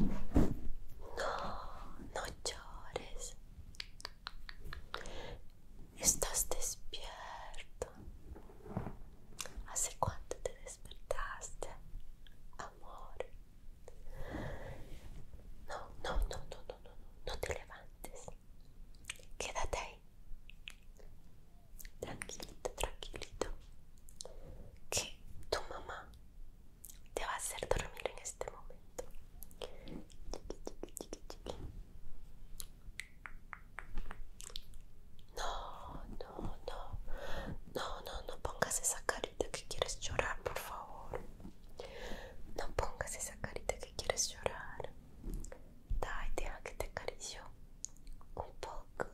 No, no llores. Estás despierto. ¿Hace cuánto te despertaste, amor? No, no, no, no, no, no, no te levantes. Quédate ahí tranquilito, tranquilito, que tu mamá te va a hacer dormir en este momento. No, no, no, no, no, no pongas esa carita que quieres llorar, por favor. No pongas esa carita que quieres llorar. Dai, que te acaricio un poco.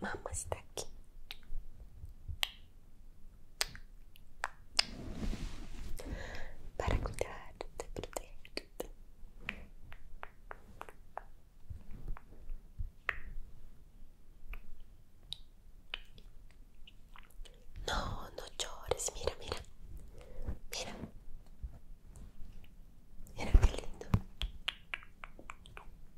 Mama está aqui. Para cuidar, te proteger. No, no chores, mira, mira. Mira. Era que lindo.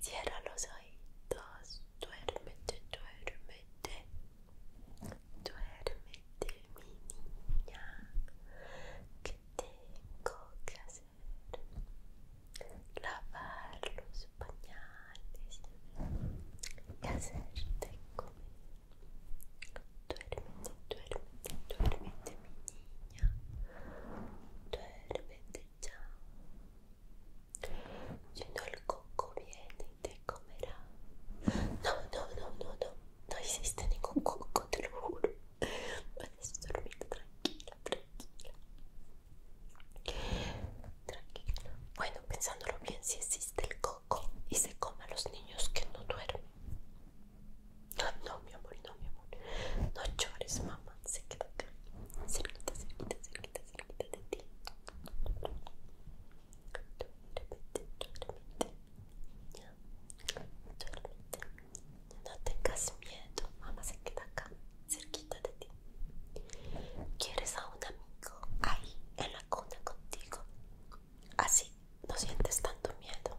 Cierra los oídos, duérmete, duérmete, duérmete, mi niña. ¿Qué tengo que hacer? Lavar los pañales y hacerte comer. Duérmete, duérmete, duérmete, mi niña. Duérmete, Chao. no el coco viene y te comerá. No, no, no, no, no. No existe ningún coco, te lo juro. a dormir tranquila, tranquila. Tranquila. Bueno, pensándolo bien, si existe el coco y se come a los niños que no duermen. No, mi amor, no, mi amor. No llores, mamá. Se queda acá. Cerquita, cerquita, cerquita, cerquita de ti. Duérmete, duérmete. Ya. No tengas miedo. Mamá se queda acá. Cerquita de ti. ¿Quieres a un amigo ahí en la cuna contigo? Así no sientes tanto miedo.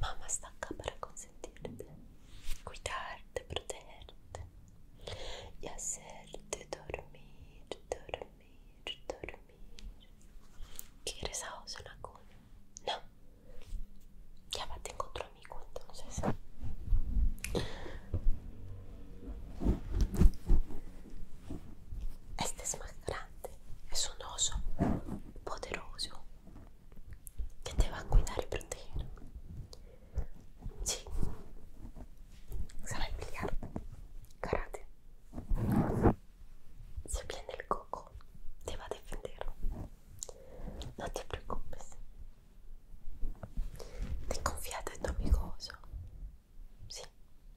mamá está acá para consentirte, cuidarte, protegerte y hacerte dormir, dormir, dormir. ¿Quieres a vos No, ya va, tener otro amigo entonces. Este es más grande es un oso poderoso que te va a cuidar y proteger. Sí, sabe pelear, karate. Si viene el coco, te va a defender. No te preocupes. Te confías en tu amigo Sí,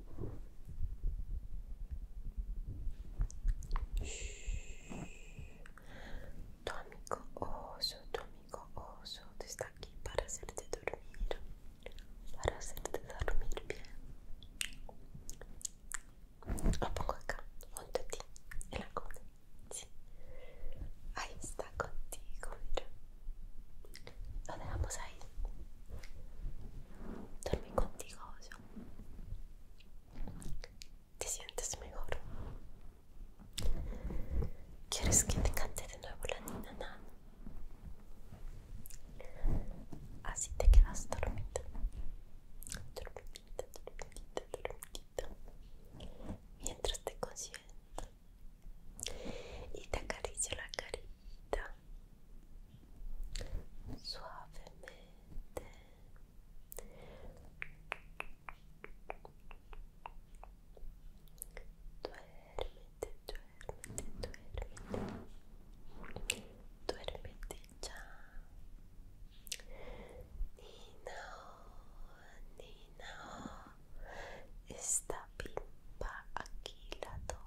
Tu amigo oso, tu amigo oso está aquí para hacerte dormir, para hacerte dormir bien. Lo pongo acá, junto a ti, en la cama Sí. Ahí está contigo, mira. Lo dejamos ahí. dormí contigo, oso. ¿Te sientes mejor? ¿Quieres que te cante de nuevo la nina? Así te quedas dormida. Dormidita, dormita, dormita, Mientras te consiento y te acaricio la carita suavemente duérmete duérmete duérmete duérmete ya no no esta pimpa aquí lado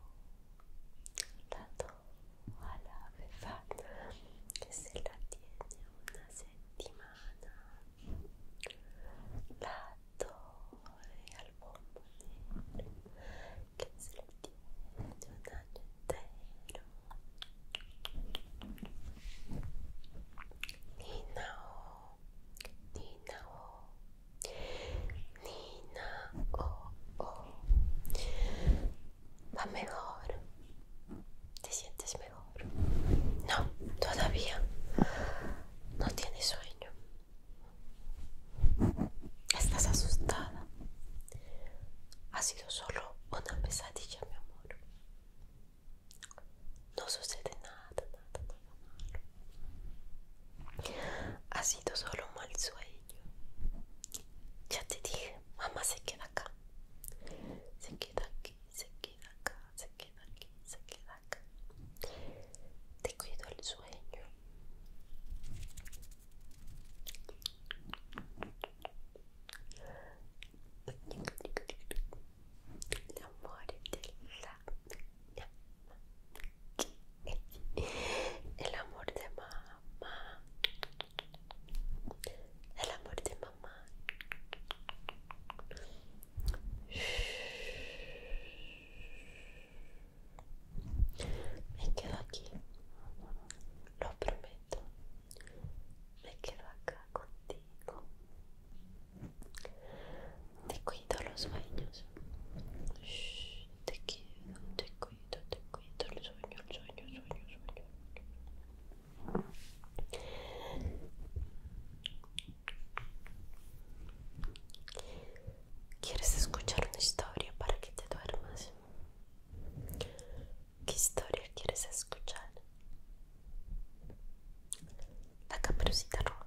a la befana que se la tiene una semana la torre al bombonero que se la tiene un año entero Ninao, Ninao Nina, oh, oh. Va mejor. ¿Te sientes mejor? No, todavía. No tienes sueño. Estás asustada. Ha sido solo una pesadilla, mi amor. No sucede nada, nada, nada malo. Ha sido solo un mal sueño. Ya te dije, mamá se queda acá. Se queda aquí, se queda acá, se queda aquí, se queda acá. Te cuido el sueño. de el amor de mamá. El amor de mamá. Me quedo aquí. Lo prometo. Me quedo acá contigo. Te cuido los sueños te quiero, te cuido, te cuido, el sueño, el sueño, el sueño, el sueño. ¿Quieres escuchar una historia para que te duermas? ¿Qué historia quieres escuchar? La caperucita roja.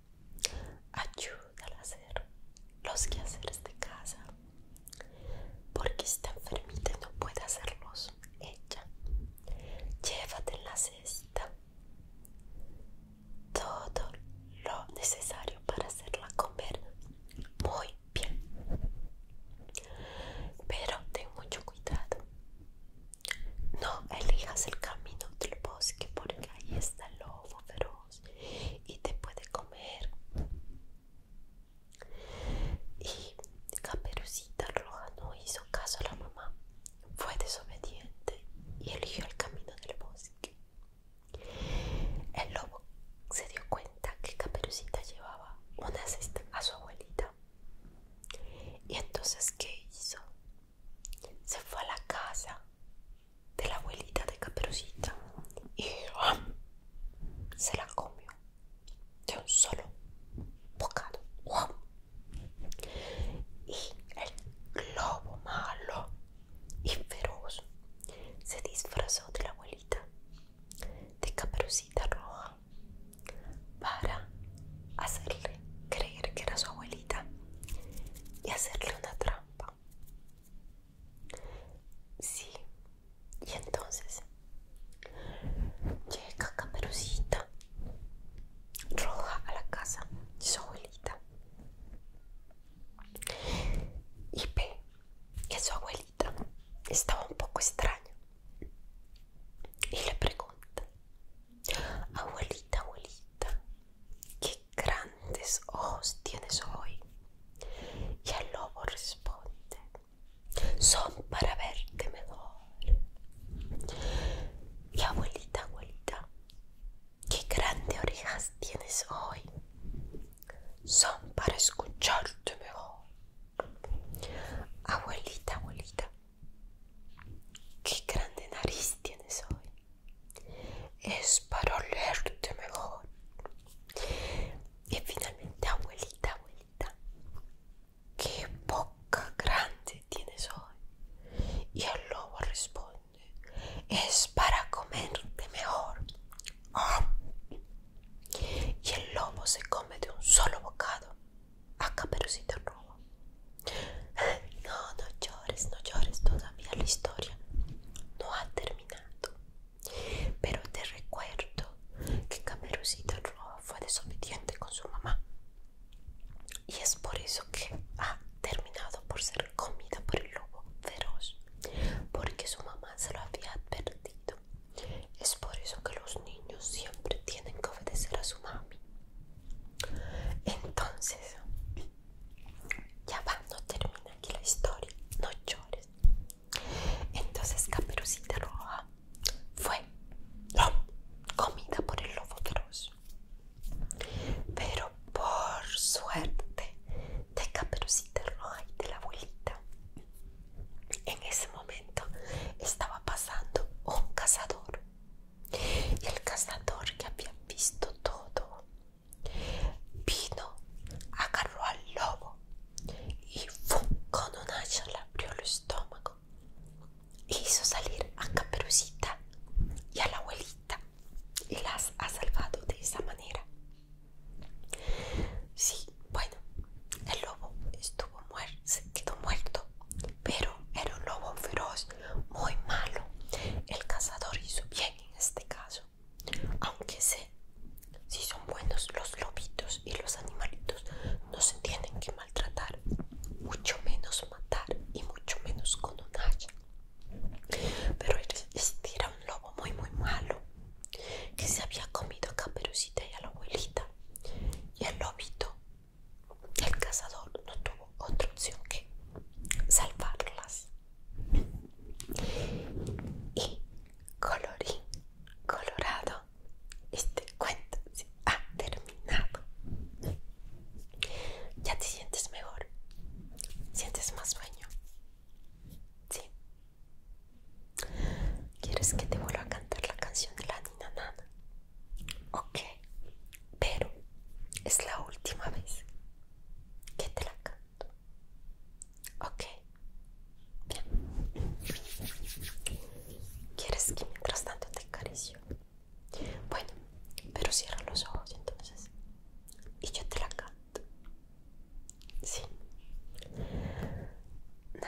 ayúdala a hacer los quehaceres de casa porque está enfermita y no puede hacerlos ella llévate en la cesta todo lo necesario para hacerla comer muy bien pero ten mucho cuidado no elijas el camino del bosque porque ahí está el feroz y te puede comer. Y Caperucita Roja no hizo caso a la mamá, fue desobediente y eligió el camino del bosque. El lobo se dio cuenta que Caperucita llevaba una cesta a su abuelita. Y entonces, ¿qué hizo? se fue a la casa de la abuelita de Caperucita y ah, se la comió de un solo bocado. Y el globo malo y feroz se disfrazó de la abuelita de Caperucita Roja para hacerle creer que era su abuelita y hacerle una trampa. Sí, y entonces llega Caperucita roja a la casa de su abuelita y ve que su abuelita estaba un poco extraña y le pregunta Abuelita, abuelita, qué grandes ojos tienes hoy. Y el lobo responde, son para verte mejor. Y abuelita, abuelita, qué grandes orejas tienes hoy. Son para escucharte mejor. Abuelita, abuelita, Qué grande nariz tienes hoy. Es para olerte mejor. Y finalmente, abuelita, abuelita. Qué boca grande tienes hoy. Y el lobo responde. Es para comerte mejor. Ah. Y el lobo se come de un solo bocado a el Roa. No, no llores, no llores, todavía la historia no ha terminado. Pero te recuerdo que Caperucita Roa fue desobediente con su mamá. Y es por eso que ha terminado por ser comida por el lobo feroz. Porque su mamá se lo había advertido. Es por eso que los niños siempre tienen que obedecer a su mami. Entonces, ya va, no termina aquí la historia, no llores. Entonces Caperucita Roja fue comida por el lobo feroz. Pero por suerte de Caperucita Roja y de la abuelita, en ese momento estaba pasando un cazador y el cazador que había visto todo vino, agarró al lobo y con un hacha le abrió el estómago. E hizo salir a Caperucita y a la abuelita y las ha salvado de esa manera. Sí, bueno, el lobo estuvo muerto, se quedó muerto pero era un lobo feroz, muy malo. El cazador hizo bien en este caso, aunque sé si son buenos los lobitos y los animalitos, no se tienen que maltratar, mucho menos matar y mucho menos con un hacha. Pero era este un lobo muy muy malo que se había comido a Caperucita y a la abuelita y el lobito el cazador no tuvo otra opción que salvarlas. Y colorín colorado, este cuento se ha terminado. ¿Ya te sientes mejor? ¿Sientes más sueño? Sí. ¿Quieres que te vuelva a cantar la canción de la ninanana? Ok, pero es la última vez que te la canto. Ok, bien. ¿Quieres que mientras tanto te acarició? Bueno, pero cierra los ojos entonces y yo te la canto. Sí. Na,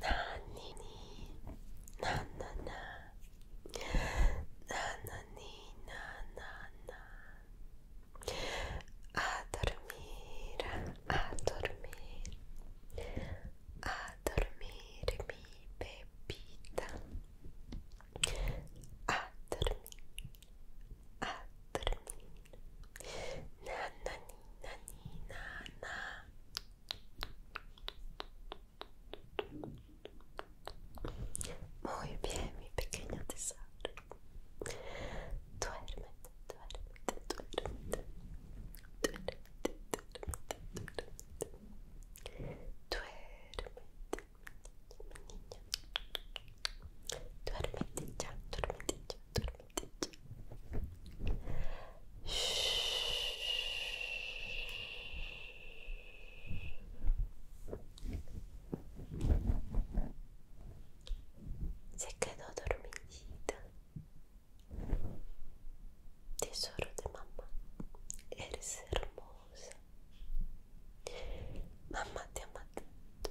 なにになななななにななな A dormir, a dormir, a dormir mi bebita, a dormir, a Muy bien, mi pequeño tesoro. duerme, duérmete, duérmete. Se quedó dormida, Tesoro de mamá, eres hermosa. Mamá te ama tanto.